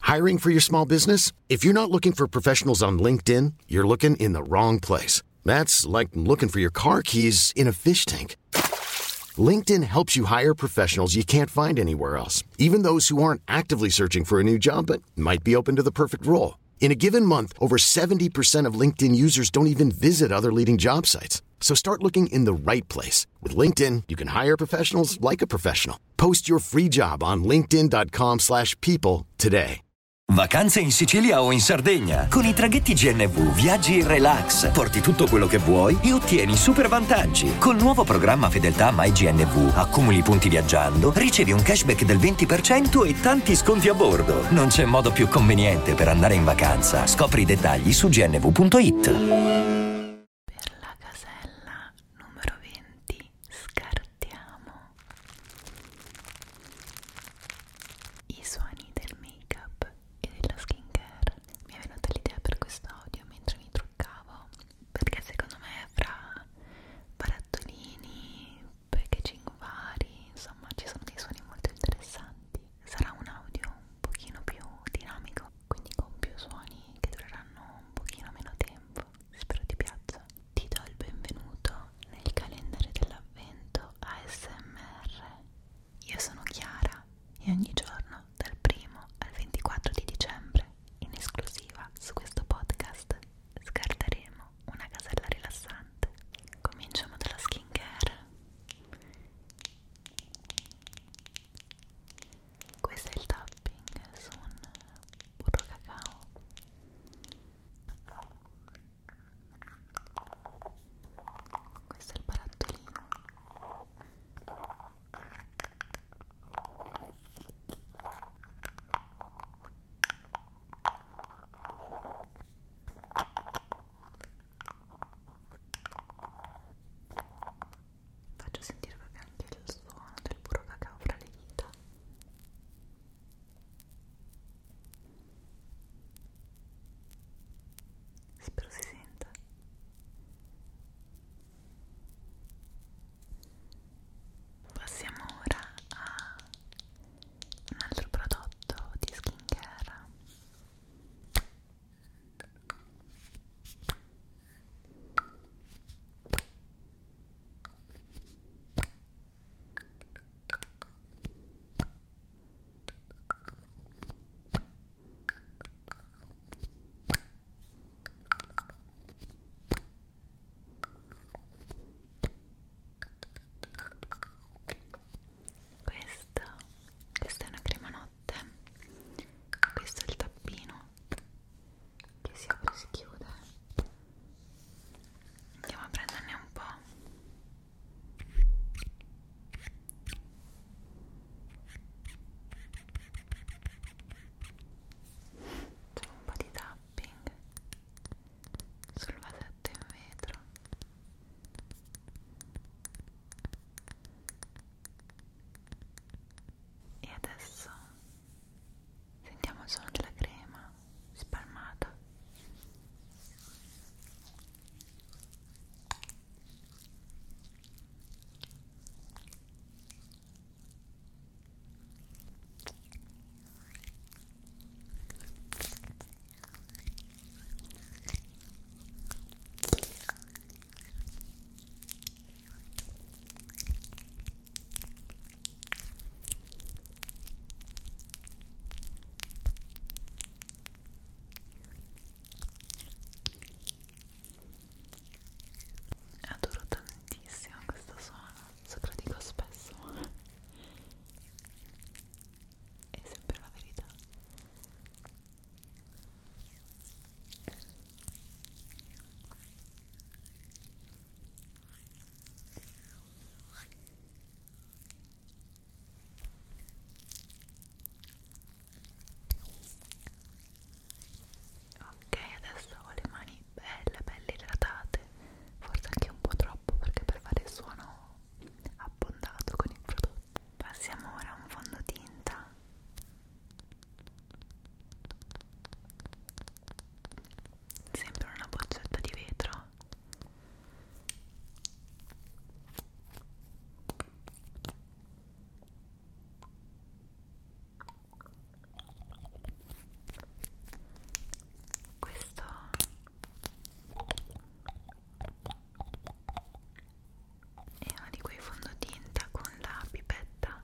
Hiring for your small business? If you're not looking for professionals on LinkedIn, you're looking in the wrong place. That's like looking for your car keys in a fish tank. LinkedIn helps you hire professionals you can't find anywhere else, even those who aren't actively searching for a new job but might be open to the perfect role. In a given month, over 70% of LinkedIn users don't even visit other leading job sites. So start looking in the right place. With LinkedIn, you can hire professionals like a professional. anno. Post your free job on linkedin.com slash people today. Vacanze in Sicilia o in Sardegna. Con i traghetti GNV viaggi in relax, porti tutto quello che vuoi e ottieni super vantaggi. Col nuovo programma Fedeltà MyGNV accumuli punti viaggiando, ricevi un cashback del 20% e tanti sconti a bordo. Non c'è modo più conveniente per andare in vacanza. Scopri i dettagli su gnv.it. Per la casella numero 20 scartiamo i suoni del make-up e della skincare. Mi è venuta l'idea per questo audio mentre mi truccavo, perché secondo me fra barattolini, packaging vari, insomma ci sono dei suoni molto interessanti. Sarà un audio un pochino più dinamico quindi con più suoni che dureranno un pochino meno tempo spero ti piaccia ti do il benvenuto nel calendario dell'avvento ASMR io sono Chiara e ogni giorno dal primo al 24 di dicembre in esclusiva su questo podcast scartaremo una casella rilassante cominciamo dalla skin care questo è il tapping su un burro cacao questo è il barattolino faccio sentire proprio anche il suono del puro cacao fra le dita spero si senta passiamo ora a un altro prodotto di skincare questa, questa è una crema notte, questo è il tappino che si apre e si chiude andiamo a prenderne un po' facciamo un po' di tapping sul vasetto in vetro e adesso sentiamo il suono della crema spalmata. Adoro tantissimo questo suono, so che lo dico spesso, ma è sempre la verità. Ok, adesso ho le mani belle, belle idratate, forse anche un po' troppo perché per fare il suono abbondato con il prodotto. Passiamo ora a un fondotinta Sembra una boccetta di vetro. Questo è uno di quei fondotinta con la pipetta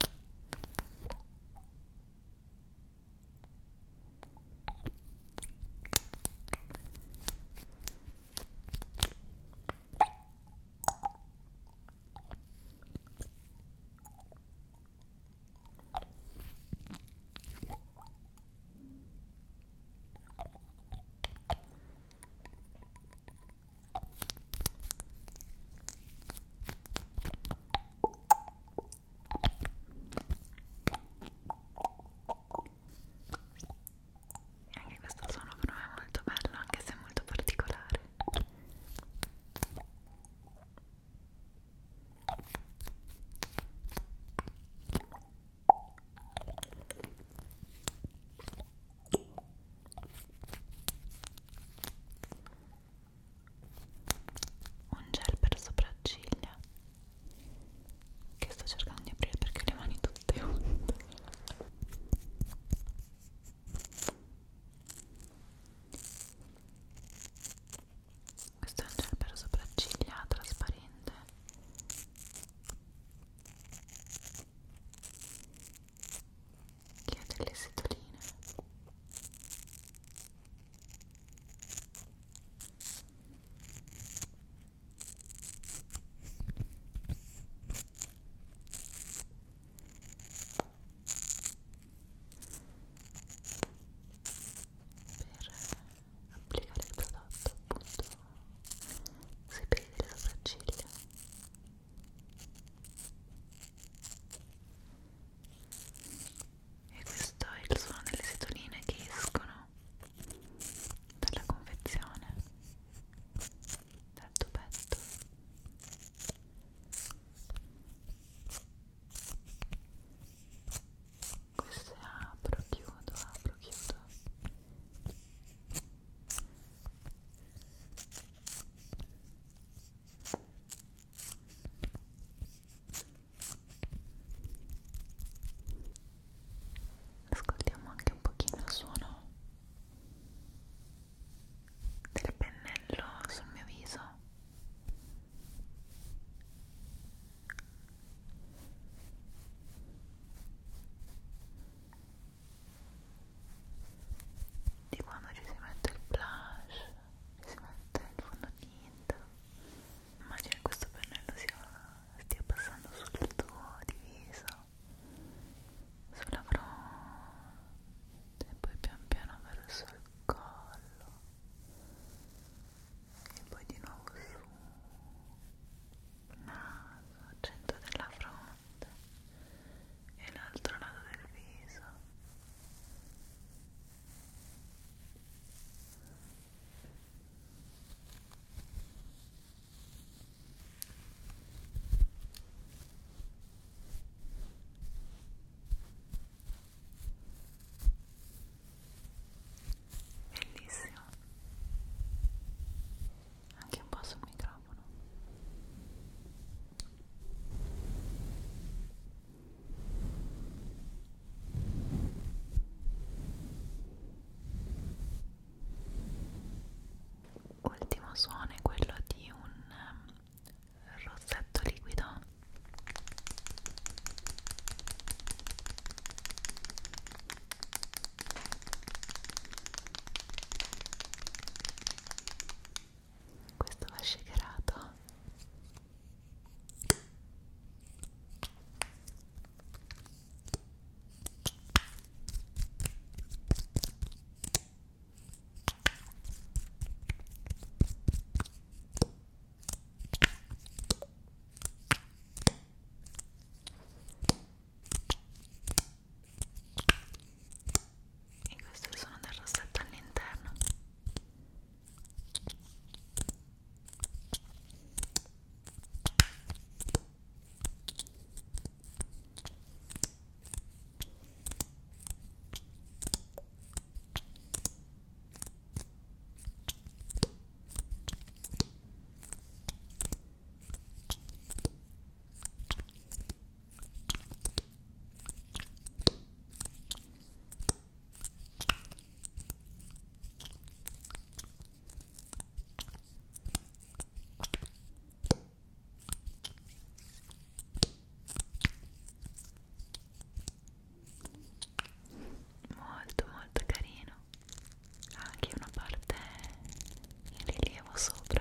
anche questo suono per me è molto bello, anche se è molto particolare un gel per sopracciglia che sto cercando di aprire perché le mani tutte unte questo è un gel per sopracciglia trasparente che ha delle setoline per applicare il prodotto appunto sui peli delle sopracciglia e questo è il suono delle setoline che escono dalla confezione dal tuo petto queste apro, chiudo, apro, chiudo Ascoltiamo anche un pochino il suono del pennello sul mio viso di quando ci si mette il blush, ci si mette il fondotinta immagino che questo pennello sia, stia passando sul tuo diviso sulla fronte e poi pian piano verso il collo e poi di nuovo su il naso al centro della fronte e l'altro lato del viso bellissimo anche un po' sul microfono Ultimo suono è quello di un ehm, rossetto liquido questo va shakerato e questo è il suono del rossetto all'interno Ecco molto molto carino anche una parte in rilievo sopra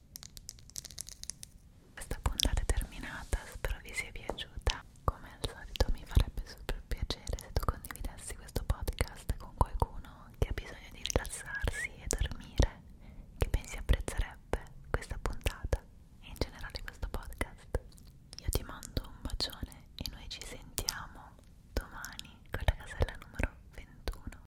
Questa puntata è terminata, spero vi sia piaciuta. Come al solito mi farebbe super piacere se tu condividessi questo podcast con qualcuno che ha bisogno di rilassarsi e dormire, che pensi apprezzerebbe questa puntata e in generale questo podcast. Io ti mando un bacione e noi ci sentiamo domani con la casella numero 21.